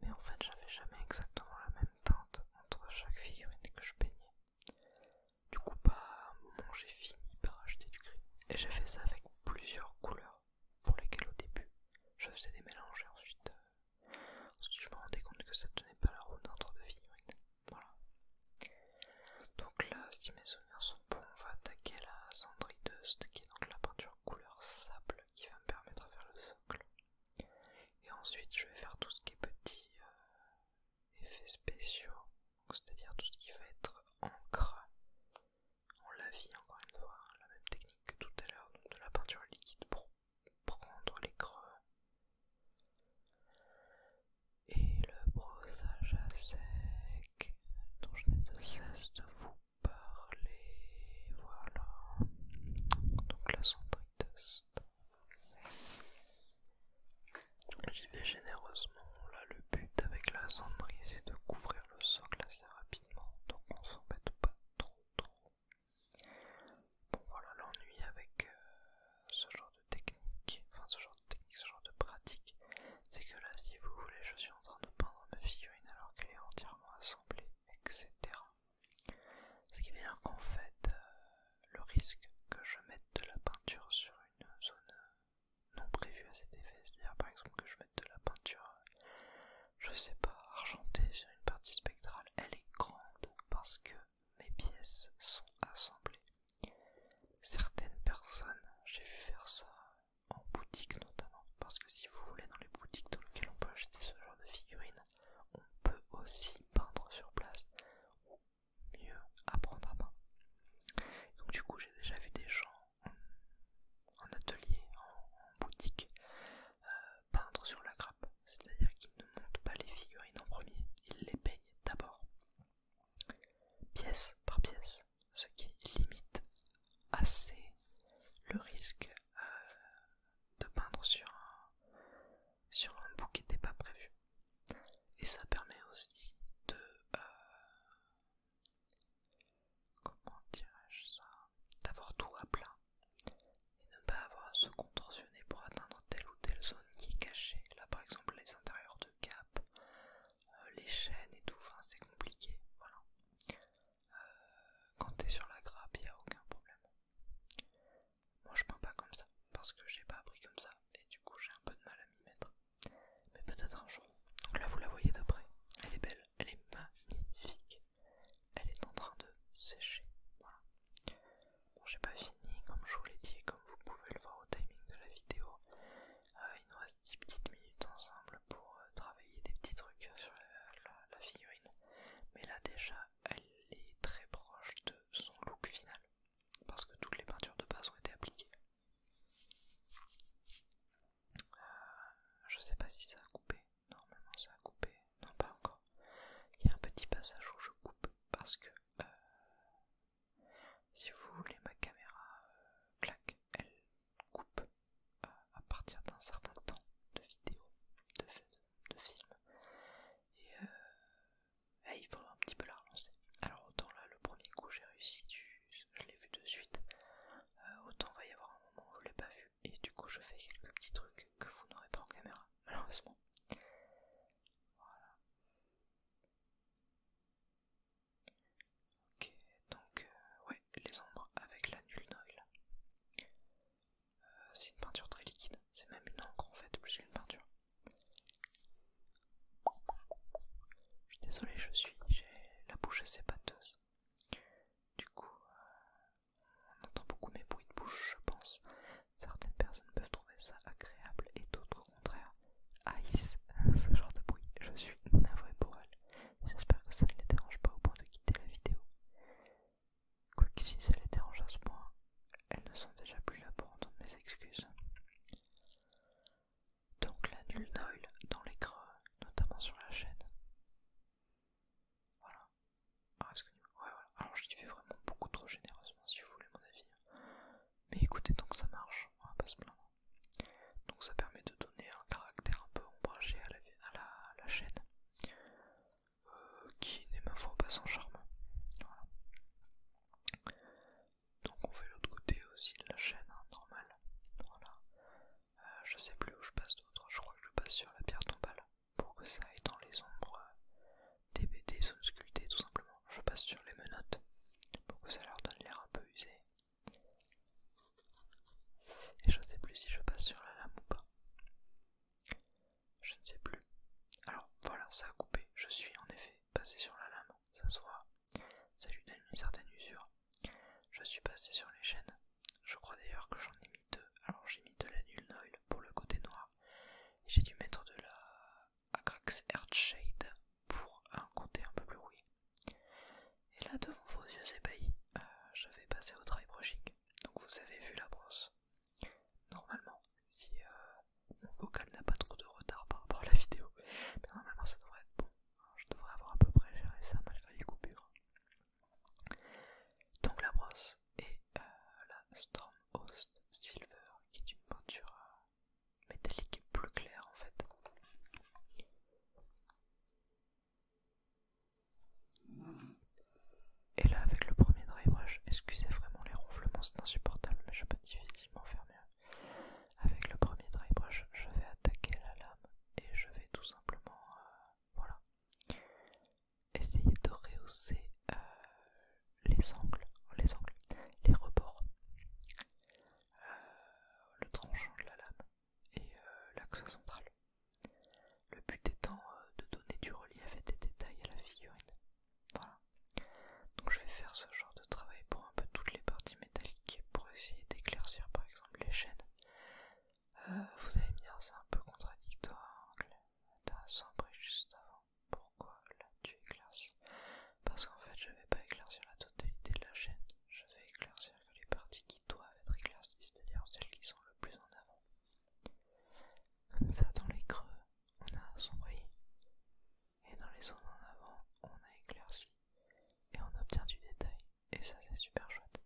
Mais en fait, j'avais jamais exactement la même teinte entre chaque figurine que je peignais. Du coup, à un moment, j'ai fini par acheter du gris. Et j'ai fait ça avec plusieurs couleurs pour lesquelles au début, je faisais des mélanges et ensuite, euh, je me rendais compte que ça tenait pas la route d'un deux de figurines. Voilà. Donc là, si mes souvenirs sont bons, on va attaquer la Sandri dust, qui est donc la peinture couleur sable qui va me permettre de faire le socle. Et ensuite, je vais faire tout ce qui est petit. effet euh, effets spéciaux, c'est-à-dire tout ce qui va être encre. On la encore une fois, hein, la même technique que tout à l'heure, de la peinture liquide pro prendre les creux. Et le brossage à sec dont je n'ai de cesse de vous parler. Voilà. Donc la test. J'y vais généreusement. Là, le but avec la cendrille c'est de couvrir le socle assez rapidement. Donc on s'embête pas trop trop. Bon voilà l'ennui avec euh, ce genre de technique, enfin ce genre de technique, ce genre de pratique, c'est que là si vous voulez je suis en train de peindre ma figurine alors qu'elle est entièrement assemblée, etc. Ce qui veut dire qu'en fait euh, le risque que je mette de la peinture sur une zone euh, non prévue à cet effet, c'est-à-dire par exemple que je mette de la peinture, je sais pas, argentée sur une partie spectrale, elle est grande parce que mes pièces sont assemblées. Certaines personnes, j'ai vu faire ça en boutique notamment, parce que si vous voulez, dans les boutiques dans lesquelles on peut acheter ce genre de figurines, on peut aussi peindre sur place, ou mieux apprendre à peindre. Donc du coup, j'ai déjà vu des gens en, atelier, en, boutique, euh, peindre sur la grappe, c'est-à-dire qu'il ne monte pas les figurines en premier, il les peigne d'abord, pièce par pièce, ce qui limite assez le risque euh, de peindre sur un, sur un bout qui n'était pas prévu. Et ça permet aussi de... Euh, comment dirais-je ça D'avoir tout à plat et ne pas avoir à se contorsionner pour atteindre telle ou telle zone qui est cachée. Là par exemple les intérieurs de cap, euh, les chaînes et tout, c'est compliqué. Voilà. Euh, quand t'es sur la grappe, il n'y a aucun problème. Moi je peins pas comme ça, parce que j'ai pas appris comme ça, et du coup j'ai un peu de mal à m'y mettre. Mais peut-être un jour. Donc là vous la voyez de près, elle est belle, elle est magnifique elle est en train de sécher. Voilà. j'ai pas fini, comme je vous l'ai dit, comme vous pouvez le voir au timing de la vidéo. Euh, il nous reste 10 petites minutes ensemble pour euh, travailler des petits trucs sur la, figurine. Mais là, déjà, elle est très proche de son look final parce que toutes les peintures de base ont été appliquées. Euh, je sais pas si ça a coupé, normalement ça a coupé, non pas encore. Il y a un petit passage où je coupe parce que euh, si vous voulez ma caméra euh, claque, elle coupe euh, à partir d'un certain temps de vidéo, de, film. Et, eh, il faut un petit peu la relancer. Alors autant là le premier coup j'ai réussi, je l'ai vu de suite. autant va y avoir un moment où je l'ai pas vu et du coup je fais quelques petits trucs que vous n'aurez pas en caméra, malheureusement. Voilà. Ok, donc, euh, ouais, les ombres avec la nulle noyle euh, c'est une peinture très liquide, c'est même une encre en fait, plus qu'une peinture. Je suis désolé, je suis, j'ai la bouche assez pâteuse. Du coup, euh, on entend beaucoup mes bruits de bouche, je pense. Certaines personnes peuvent trouver ça agréable et d'autres au contraire. Haïssent ce genre de bruit. Je suis navré pour elles J'espère que ça ne les dérange pas au point de quitter la vidéo. Quoique si ça les dérange à ce point, elles ne sont déjà plus là pour entendre mes excuses. Donc la nulle noyle dans les creux, notamment sur la chaîne. Voilà, ah, Alors, je fais fais vraiment beaucoup trop généreusement, si vous voulez mon avis. Mais écoutez, donc ça marche, on va pas se plaindre. Donc, ça permet de donner un caractère un peu ombragé à la, chaîne, euh, qui n'est ma foi pas sans charme. Donc, on fait l'autre côté aussi de la chaîne, hein, normal. Euh, je sais plus où je passe d'autre, je crois que je passe sur la pierre tombale pour que ça ait dans les ombres des BD sont sculptées tout simplement. Je passe sur les menottes pour que ça leur donne l'air un peu usé. Et je ne sais plus si je passe sur la lame ou pas. Je ne sais plus. Alors voilà, ça a coupé. Je suis en effet passé sur la lame, ça se voit. Ça lui donne une certaine usure. Je suis passé sur les chaînes. Je crois d'ailleurs que j'en ai mis deux. Alors j'ai mis de la nulle pour le côté noir j'ai dû mettre de la Agrax Earthshade pour un côté un peu plus rouillé. Et là, devant vos yeux ébahis, euh, je vais passer au travail brushing. Donc vous avez vu la brosse. Normalement, si euh, mon vocal n'a pas trop de retard par rapport à la vidéo, mais normalement ça devrait être bon. Hein, je devrais avoir à peu près géré ça malgré les coupures. Donc la brosse, et euh, la Stormhost Silver qui est une peinture euh, métallique plus claire en fait. Et là avec le premier dry brush, excusez vraiment les ronflements, c'est insupportable mais je peux difficilement fermer. Avec le premier dry brush, je vais attaquer la lame et je vais tout simplement euh, voilà essayer de rehausser euh, les angles, les angles, les rebords, euh, le tranchant de la lame et euh, l'axe central. Le but étant de donner du relief et des détails à la figurine. Voilà. Donc je vais faire ce genre de travail pour un peu toutes les parties métalliques pour essayer d'éclaircir par exemple les chaînes. vous allez me dire c'est un peu contradictoire, hein, t'as sombré juste avant. Pourquoi là tu éclaircies Parce qu'en fait, je ne vais pas éclaircir la totalité de la chaîne, je vais éclaircir que les parties qui doivent être éclaircies, c'est-à-dire celles qui sont le plus en avant. Comme ça, dans les creux, on a sombré et dans les zones en avant, on a éclairci, et on obtient du détail, et ça c'est super chouette.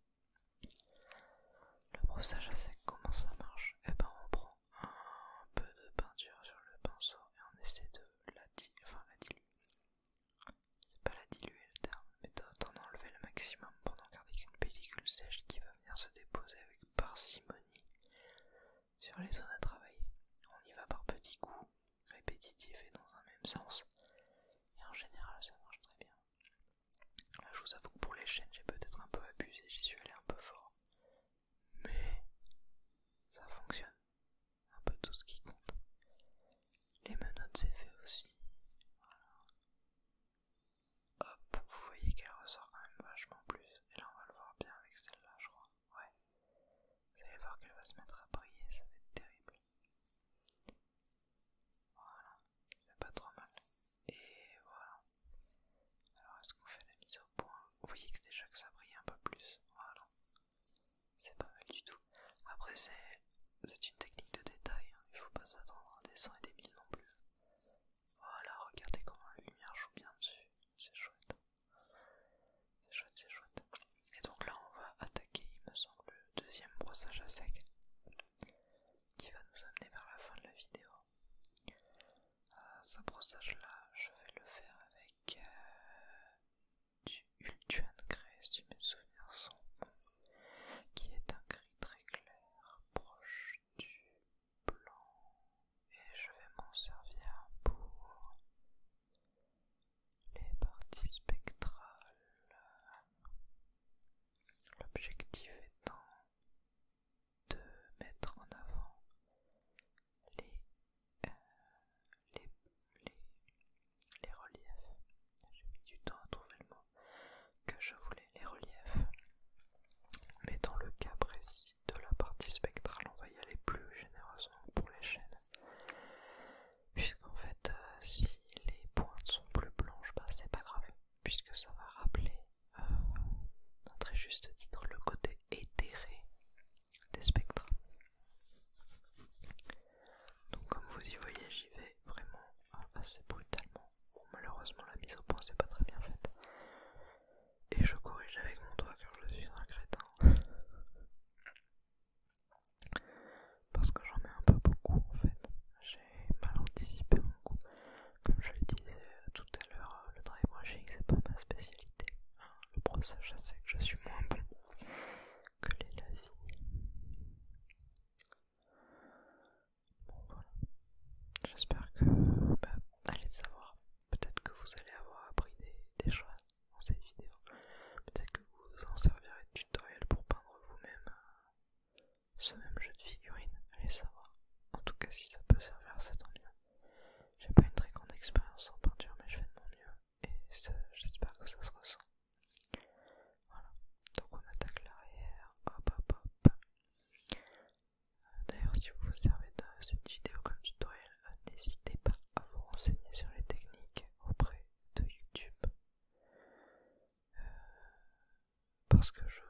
Le brossage à sec, comment ça marche et. Eh ben on prend un peu de peinture sur le pinceau et on essaie de la, diluer. C'est pas la diluer le terme, mais d'en enlever le maximum pendant n'en garder qu'une pellicule sèche qui va venir se déposer avec parcimonie sur les zones à travailler. On y va par petits coups, répétitifs et dans un même sens. Et en général, ça marche très bien. je vous avoue que pour les chaînes, j'ai peut-être un peu abusé, j'y suis allé un peu fort mais ça fonctionne. Un peu tout ce qui compte. Les menottes c'est fait aussi. Voilà. Hop, vous voyez qu'elle ressort quand même vachement plus. Et là on va le voir bien avec celle-là je crois. Ouais. Vous allez voir qu'elle va se mettre à briller, ça va être terrible. Voilà, c'est pas trop mal. Et voilà. Alors est-ce qu'on fait la mise au point Vous voyez que déjà que ça brille un peu plus. Voilà. C'est pas mal du tout. Après c'est une technique de détail, hein. il faut pas s'attendre à des 100 et des 1000 non plus. Voilà, regardez comment la lumière joue bien dessus. C'est chouette. C'est chouette, c'est chouette. Et donc là on va attaquer, il me semble, le deuxième brossage à sec qui va nous amener vers la fin de la vidéo. Euh, ce brossage là je vais le faire avec euh, du Ultuan Grey si mes souvenirs sont bons qui est un gris très clair proche du blanc et je vais m'en servir pour les parties spectrales l'objectif étant de mettre en avant euh, les, reliefs. J'ai mis du temps à trouver le mot que je voulais, les reliefs. Mais dans le cas précis de la partie spectrale, on va y aller plus généreusement pour les chaînes. en fait, euh, si les pointes sont plus blanches, bah, c'est pas grave, puisque ça va rappeler euh, très juste titre, le côté éthéré des spectres. Donc comme vous y voyez, j'y vais vraiment euh, assez brutalement. malheureusement, la mise au point c'est pas très bien faite. Et je corrige avec mon doigt car je suis un crétin. Parce que j'en mets un peu beaucoup en fait. J'ai mal anticipé mon coup. Comme je le disais euh, tout à l'heure, euh, le drive brushing c'est pas ma spécialité. Hein. le brossage sais que je suis moins bon que les lavis. Bon voilà. J'espère que bah, allez savoir. Peut-être que vous allez avoir appris des, choses dans cette vidéo. Peut-être que vous en servirez de tutoriel pour peindre vous-même euh, ce même jeu de figurines. Allez savoir. En tout cas, si ça peut servir, c'est tant mieux. J'ai pas une très grande expérience en peinture, mais je fais de mon mieux et j'espère que ça se ressent. Voilà, donc on attaque l'arrière, hop hop hop. Euh, d'ailleurs, si vous vous servez de cette vidéo comme tutoriel, euh, n'hésitez pas à vous renseigner sur les techniques auprès de YouTube. Euh, parce que je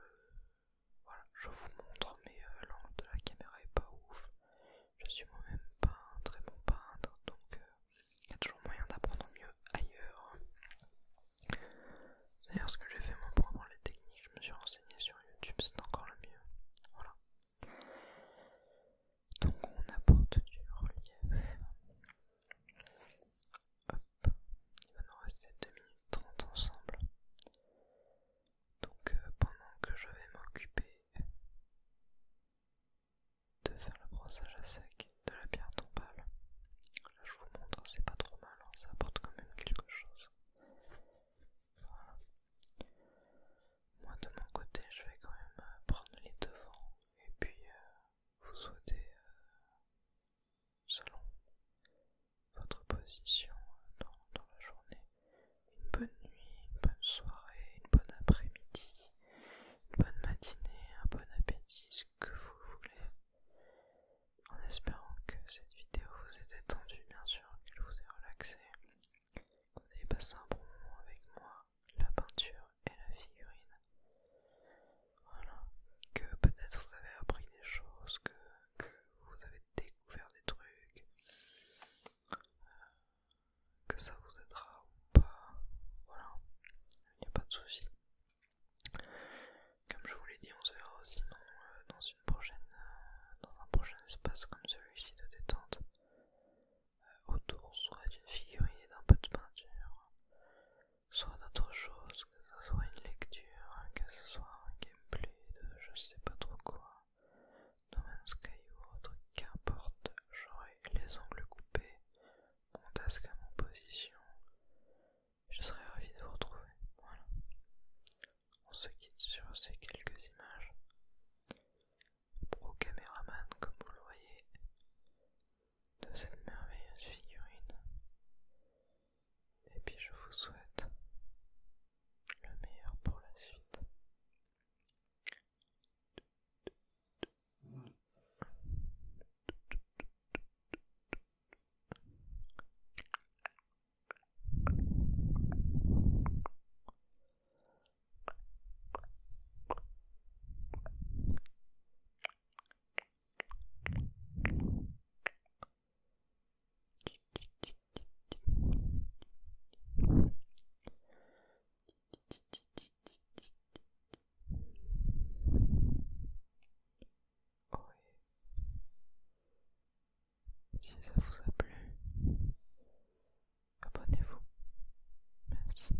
voilà, je vous montre, mais euh, l'angle de la caméra est pas ouf. Je suis moi-même pas un très bon peintre, donc euh, il y a toujours moyen d'apprendre mieux ailleurs. C'est d'ailleurs ce que j'ai fait moi pour apprendre les techniques, je me suis renseigné sur YouTube, c'est encore le mieux. Voilà. Donc on apporte du relief. Hop, il va nous rester 2 minutes 30 ensemble. Donc euh, pendant que je vais m'occuper de faire le brossage à sec de la pierre tombale, je vous montre, c'est pas trop mal, hein, ça apporte quand même quelque chose. Moi de mon côté, je vais quand même euh, prendre les devants et puis euh, vous souhaiter, selon votre position dans, la journée. Une bonne nuit, une bonne soirée, une bonne après-midi, une bonne matinée, un bon appétit, ce que vous voulez. En espérant que cette vidéo vous ait détendu, bien sûr, qu'elle vous ait relaxé, que vous avez passé un bon moment avec moi, la peinture et la figurine. Voilà, que peut-être vous avez appris des choses, que vous avez découvert des trucs, euh, que ça vous aidera ou pas. Voilà, il n'y a pas de souci. Comme je vous l'ai dit, on se verra aussi euh, dans, une prochaine, euh, dans un prochain espace comme celui-ci de détente. autour soit d'une figurine et d'un peu de peinture, soit d'autre chose, que ce soit une lecture, que ce soit un gameplay je sais pas trop quoi dans un Sky ou autre, qu'importe, j'aurai les ongles coupés, mon tasque à mon position. Je serais ravi de vous retrouver. Voilà. On se quitte sur ces quelques images. Pro caméraman, comme vous le voyez, de cette merveilleuse figurine. Et puis je vous souhaite le meilleur pour la suite. Si ça vous a plu, abonnez-vous. Merci.